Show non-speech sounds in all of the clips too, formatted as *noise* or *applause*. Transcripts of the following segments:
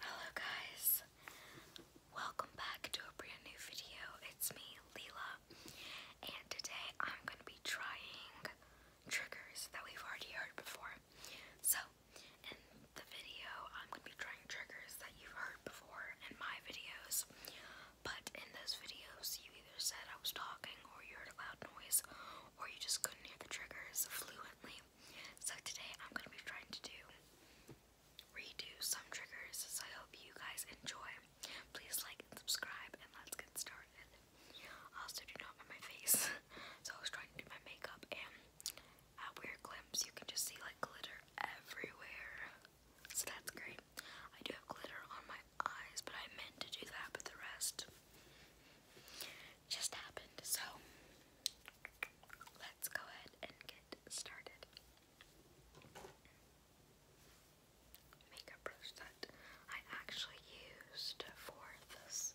Hello guys, welcome back to a brand new video. It's me, Leila, and today I'm going to be trying triggers that we've already heard before. So, in the video, I'm going to be trying triggers that you've heard before in my videos, but in those videos, you either said I was talking, or you heard a loud noise, or you just couldn't hear the triggers fluently. So today I'm going to be trying to do redo some triggers. So I hope you guys enjoy. Please like and subscribe and let's get started. I Also do not mind my face. *laughs* so I was trying to do my makeup and at weird glimpse you can just see like glitter everywhere. So that's great. I do have glitter on my eyes, but I meant to do that, but the rest just happened. So let's go ahead and get started. Makeup brush that I actually used for this.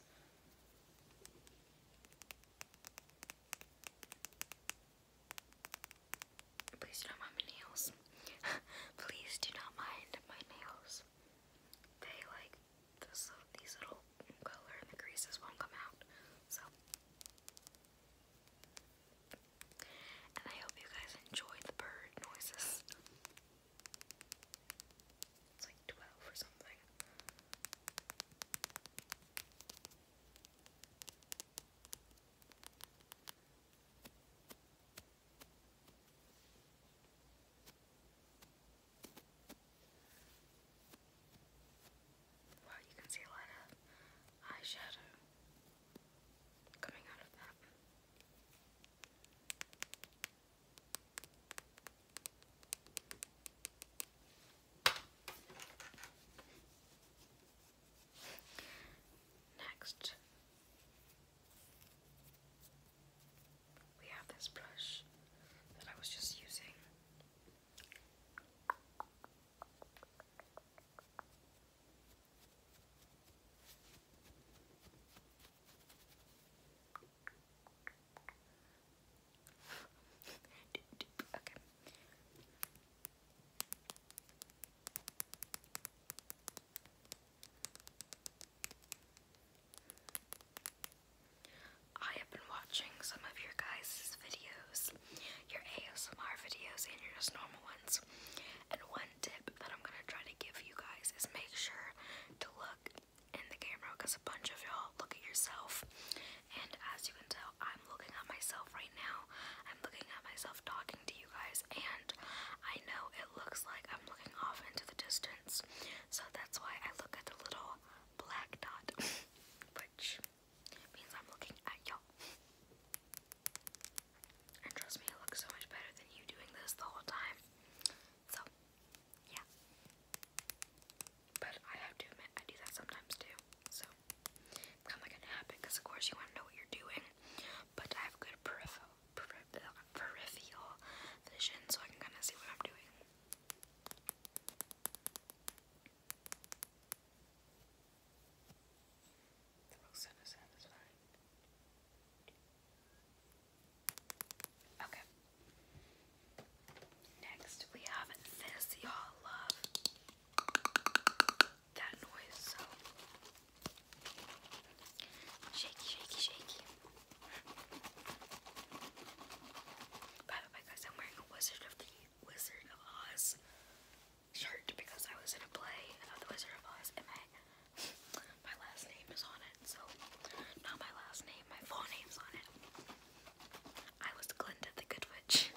Please don't mind my nails. *laughs* Please do not mind my nails. They like so these little color and the creases won't come out. So, and I hope you guys enjoyed the bird noises. It's like 12 or something. Well, you can see a lot of eyeshadow coming out of that. Next, we have this brush that I was just using. okay. *laughs* *laughs* I have been watching some of your guys' videos, your ASMR videos and your just normal ones. And one tip that I'm gonna try to give you guys is make sure to look in the camera because a bunch of y'all look at yourself. And as you can tell, I'm looking at myself right now. I'm looking at myself talking to you guys, and I know it looks like I'm looking off into the distance. So that's why I look at the little black dot, *laughs* which means I'm looking at y'all. And trust me, it looks so much better than you doing this the whole time. So, yeah. But I have to admit, I do that sometimes too. So, kind of like an habit because, of course, you want to know what you're doing. But I have good peripheral vision so I can kind of see what I'm doing. It Okay. Next, we have this. Y'all love that noise. So shaky, shaky, shaky. By the guys, I'm wearing a Wizard of the Wizard of Oz shirt because I was in a play of the Wizard of Oz, and my *laughs* my last name is on it. So, not my last name, my full name's on it. I was Glinda the Good Witch.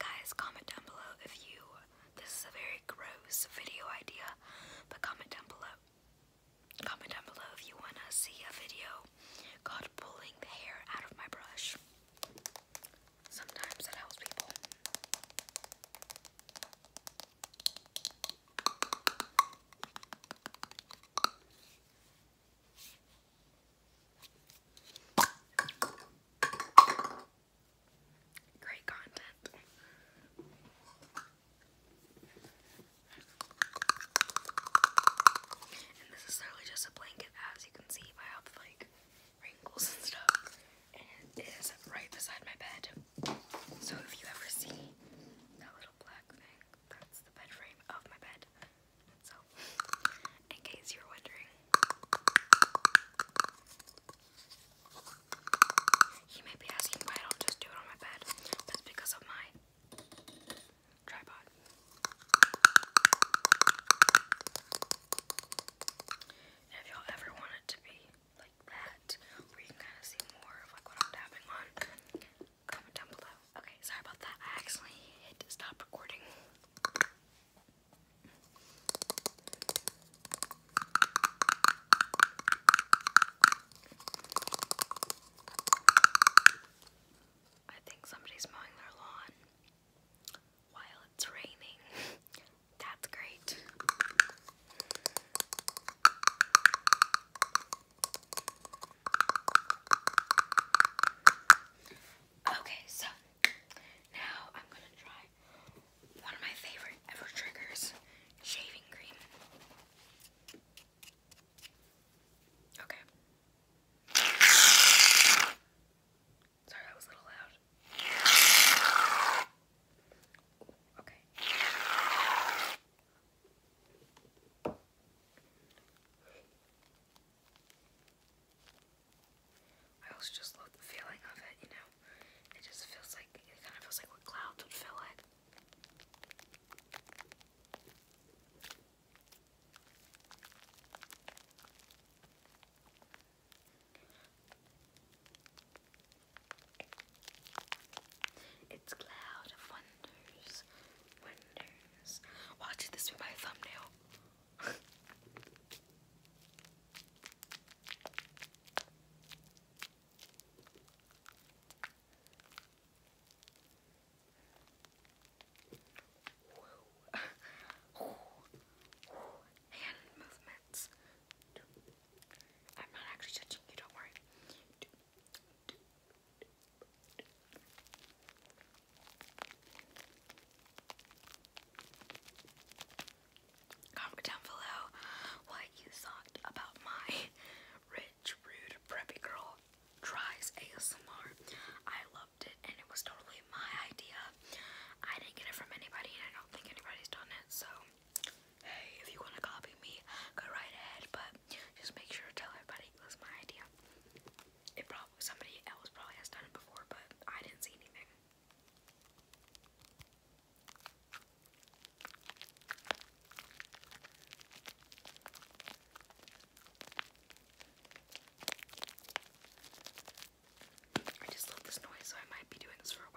Guys, comment down below if you. This is a very gross video idea, but comment down below Comment down below if you want to see a video called pulling the hair out of my brush. Sometimes that helps people. Great content this is literally just a blanket, as you can see, I have like wrinkles and stuff. And it is right beside my bed. So if you ever see that little black thing, that's the bed frame of my bed. So, in case you're wondering, you may be asking why I don't just do it on my bed. That's because of my tripod. if y'all ever want to be like that, where you can kind of see more of like what I'm tapping on, comment down below. Okay, sorry about that. I accidentally hit stop recording. I think somebody's mowing their lawn while it's raining. That's great. Okay, so now I'm going to try one of my favorite ever triggers shaving cream. Okay. Sorry, that was a little loud. okay. I also just love the feeling of it, you know. It just feels like it kind of feels like what clouds would feel like. It's Cloud of Wonders. Wonders. Watch it, this be my thumbnail. *laughs* Hand movements. I'm not actually touching you, don't worry. Comment down below what you thought about my rich, rude, preppy girl tries ASMR. I loved it and it was totally my idea. I didn't get it from anybody and I don't think anybody's done it, so hey, if you want to copy me, go right ahead, but just make sure to tell everybody it was my idea. It probably somebody else probably has done it before, but I didn't see anything. I just love this noise, so I might be doing this for a while.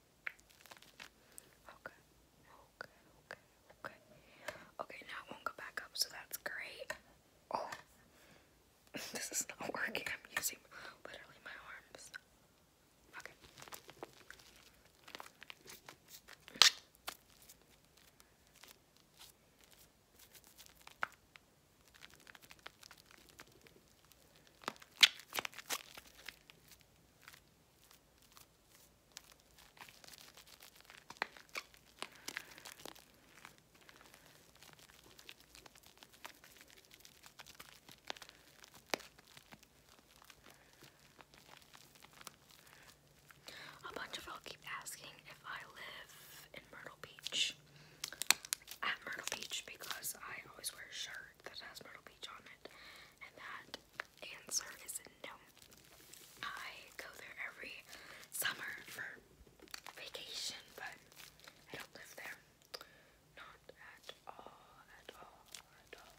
Okay, okay, okay, okay. Okay, now it won't go back up, so that's great. Oh, *laughs* this is not working. I'm using literally my arms. Okay. A bunch of you keep asking if I live in Myrtle Beach. At Myrtle Beach because I always wear a shirt shirt that has Myrtle Beach on it? And that answer is no. I go there every summer for vacation, but I don't live there. Not at all, at all, at all.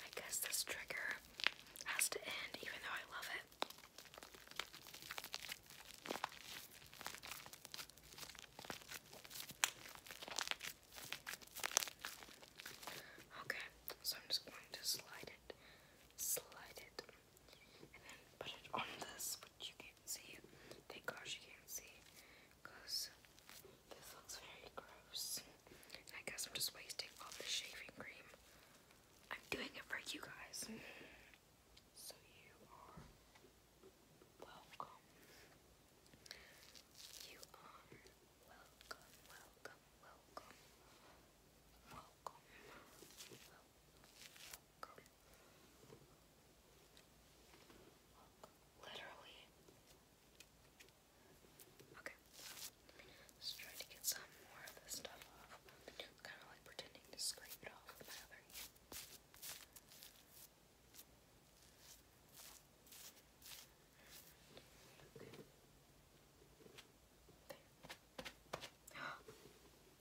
I guess this trigger has to end, even though I love it. Okay, so I'm just going to slide it, slide it and then put it on this, which you can't see. Thank gosh you can't see, because this looks very gross. I guess I'm just wasting all the shaving cream. I'm doing it for you guys. So you are welcome. You are welcome, welcome, welcome, welcome, welcome. Literally. Okay. Let's to get some more of this stuff off. kind of like pretending to scrape it off with my other hand. Okay. There. *gasps*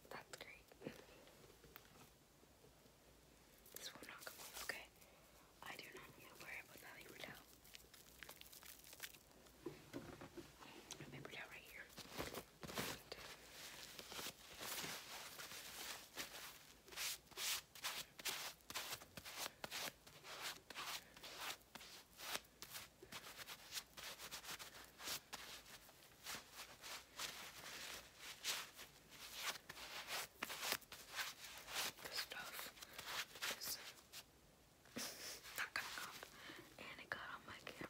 That's great. This will not come off, okay? I do not need to worry about that paper towel. A paper right here. This stuff is not coming off, and it got on my camera.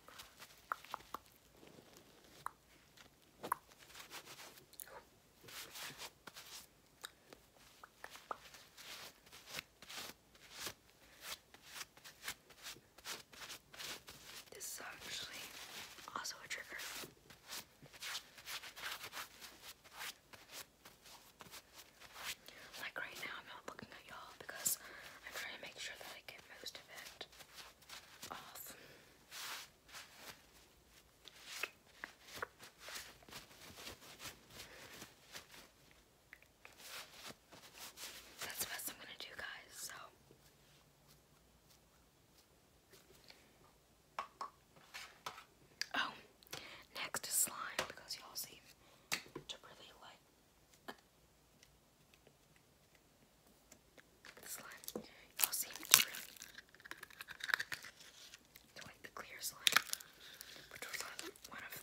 This is actually also a trigger. Like right now, I'm not looking at y'all because I'm trying to make sure that I get most of it off. That's the best I'm gonna do, guys, so. Oh, next is slime because y'all seem to really like slime. Y'all seem to really to like the clear slime, which was one of the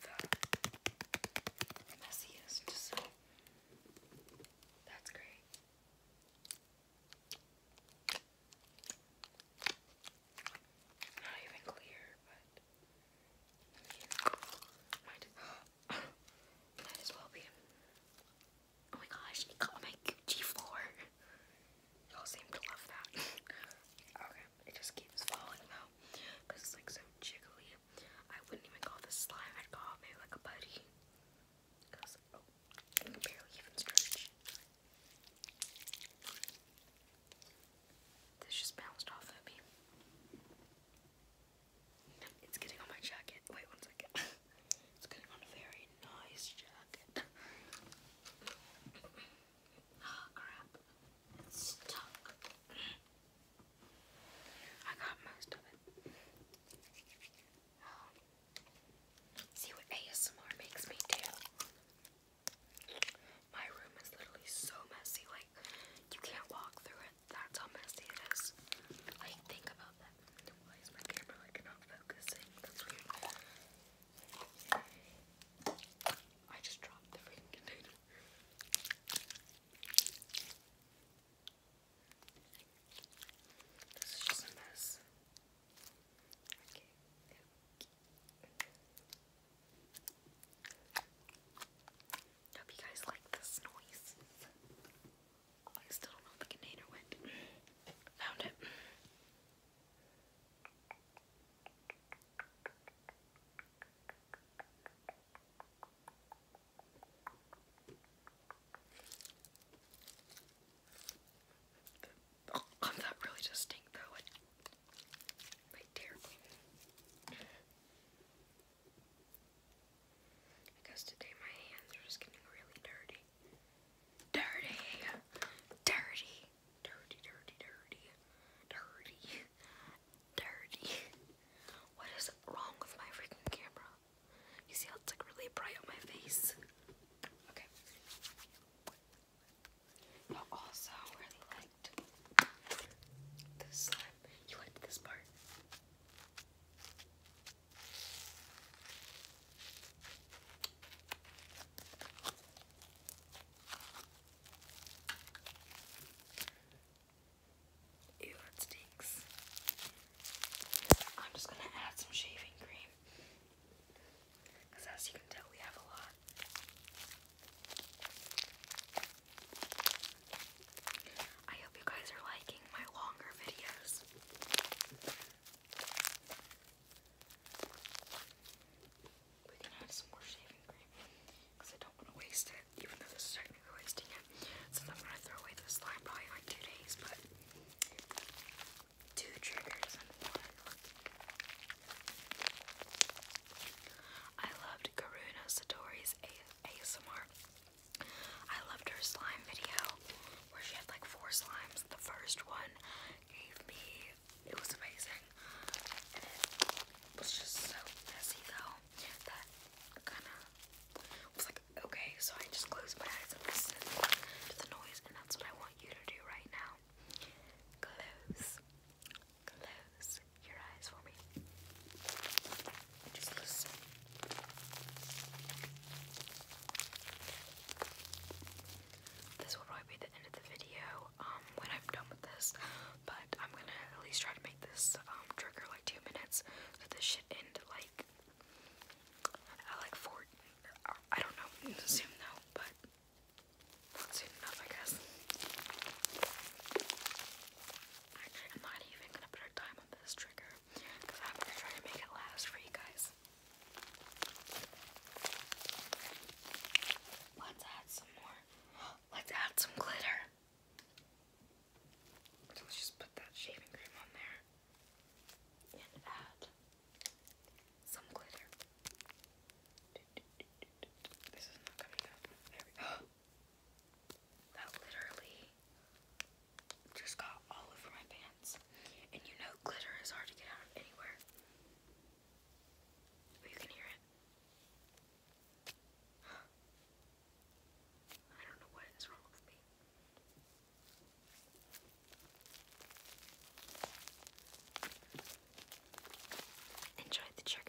messiest. That's great. Not even clear, but *gasps* might as well be. Oh my gosh, it got my Gucci floor. Y'all seem to love that. *laughs* okay, it just keeps falling though, it's like so jiggly. I wouldn't even call this slime, I'd call it maybe like a buddy, Because, I oh, can barely even stretch. This just bounced off at me. It's getting on my jacket. Wait one second. *laughs* it's getting on a very nice jacket. oh *laughs* crap. It's stuck. I got most of it. Um, see what ASMR makes me do. My room is literally so messy, like, you can't walk through it. That's how messy it is. Like, think about that. Why is my camera, like, not focusing? That's weird. I just dropped the freaking container. This is just a mess. Hope you guys like this noise. I still don't know if the container went. Found it. I'm not really just stink though. It, like terribly. Because today my hands are just getting really dirty. Dirty! Dirty! Dirty, dirty, dirty, dirty, dirty. *laughs* what is wrong with my freaking camera? You see how it's like really bright on my face? Okay. I also really liked this slime. You liked this part? Ew, stinks. I'm just gonna add some shaving cream. Because as you can tell, we have a lot. I hope you guys are liking my longer videos. We can add some more shaving cream because I don't want to waste it even though this is technically wasting it. Since I'm gonna throw away this slime probably in like two days, but two triggers and one. I loved Karuna Satori's ASMR. I loved her slime video where she had like four slimes. The first one gave me, it was amazing. it was just so messy though that kind of was like, okay, so I just closed my eyes and listened to the noise, and that's what I want you to do right now. Close, close your eyes for me. Just listen. This will probably be the end of the video um, when I'm done with this, but I'm gonna at least try to this um, trigger like two minutes, so this should end like at like four. Uh, I don't know soon though, but not soon enough, I guess. I'm not even gonna put a time on this trigger because I'm going to make it last for you guys. Let's add some more. Let's add some glitter. So let's just put that shaving cream on there and add some glitter. This is not coming up. *gasps* That literally just got all over my pants. And you know, glitter is hard to get out of anywhere. you can hear it. *gasps* I don't know what is wrong with me. Enjoy the trigger.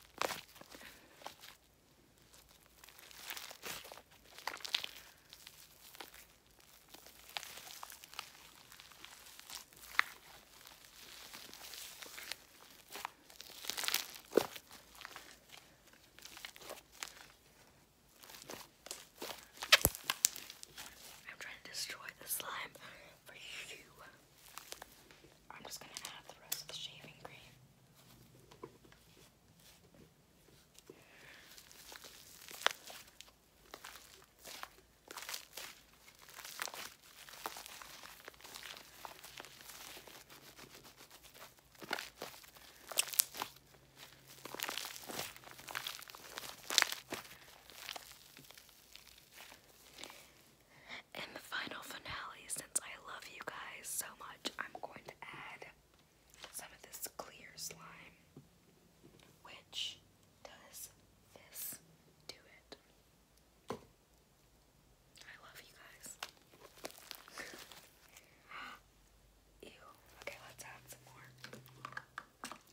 I'm trying to destroy the slime for you. I'm just gonna add the rest of the shaving cream. In the final finale, since I love you guys so much, I'm going to add some of this clear slime, which does this to it. I love you guys. *gasps* Ew. Okay, let's add some more.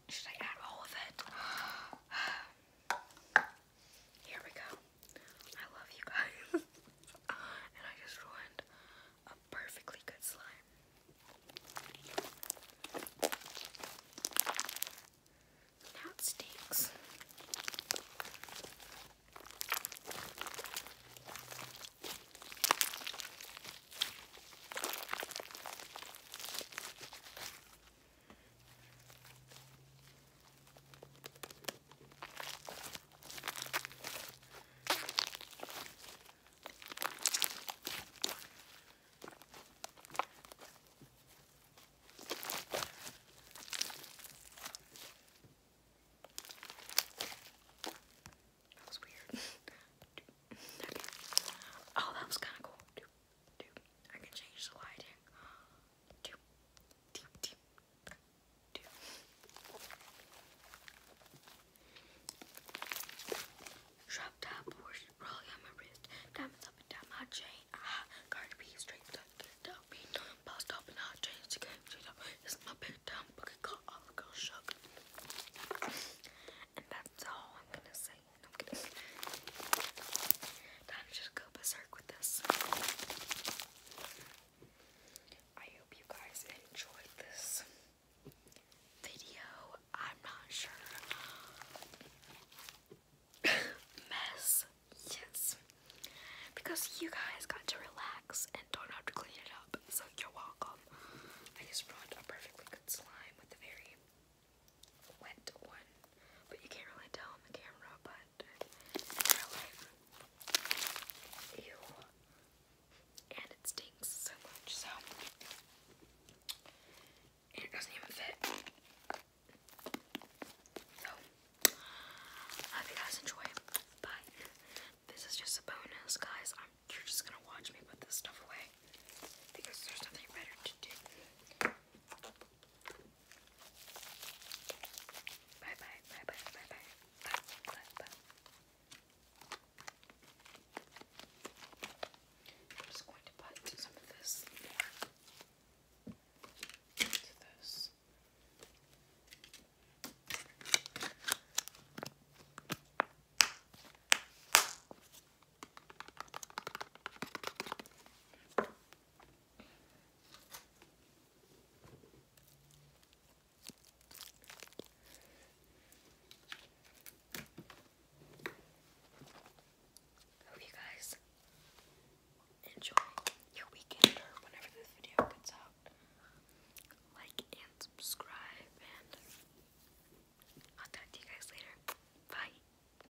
Should I add all of it? *gasps* *sighs* *sighs* Here we go. I love you guys. *laughs* and I just ruined a perfectly good slime. Now stinks. That was weird. *laughs* Oh, that was kind of cool. I can change the lighting two, two, two, two. Shrub tap horse rolling on my wrist. Diamonds up and down my chain. Ah, card be straight up, get down, be done. Boss up and It's my big time bucket caught all the girls shook. And that's all I'm gonna say. I'm kidding. Time to just with this. I hope you guys enjoyed this video. I'm not sure. *coughs* Mess. Yes. Because you guys got to relax and don't have to clean it up. So you're welcome. I just brought a perfectly good slime with a very went one, but you can't really tell on the camera, but in real life, ew, and it stinks so much, so, and it doesn't even fit, so, hope you guys enjoy, but this is just a bonus, guys, you're just gonna watch me put this stuff away, because there's nothing better to do. Bye bye, bye bye, bye bye. Bye, I'm just going to put some of this into this. Hope you guys enjoy your weekend or whenever this video gets out. Like and subscribe, and I'll talk to you guys later. Bye.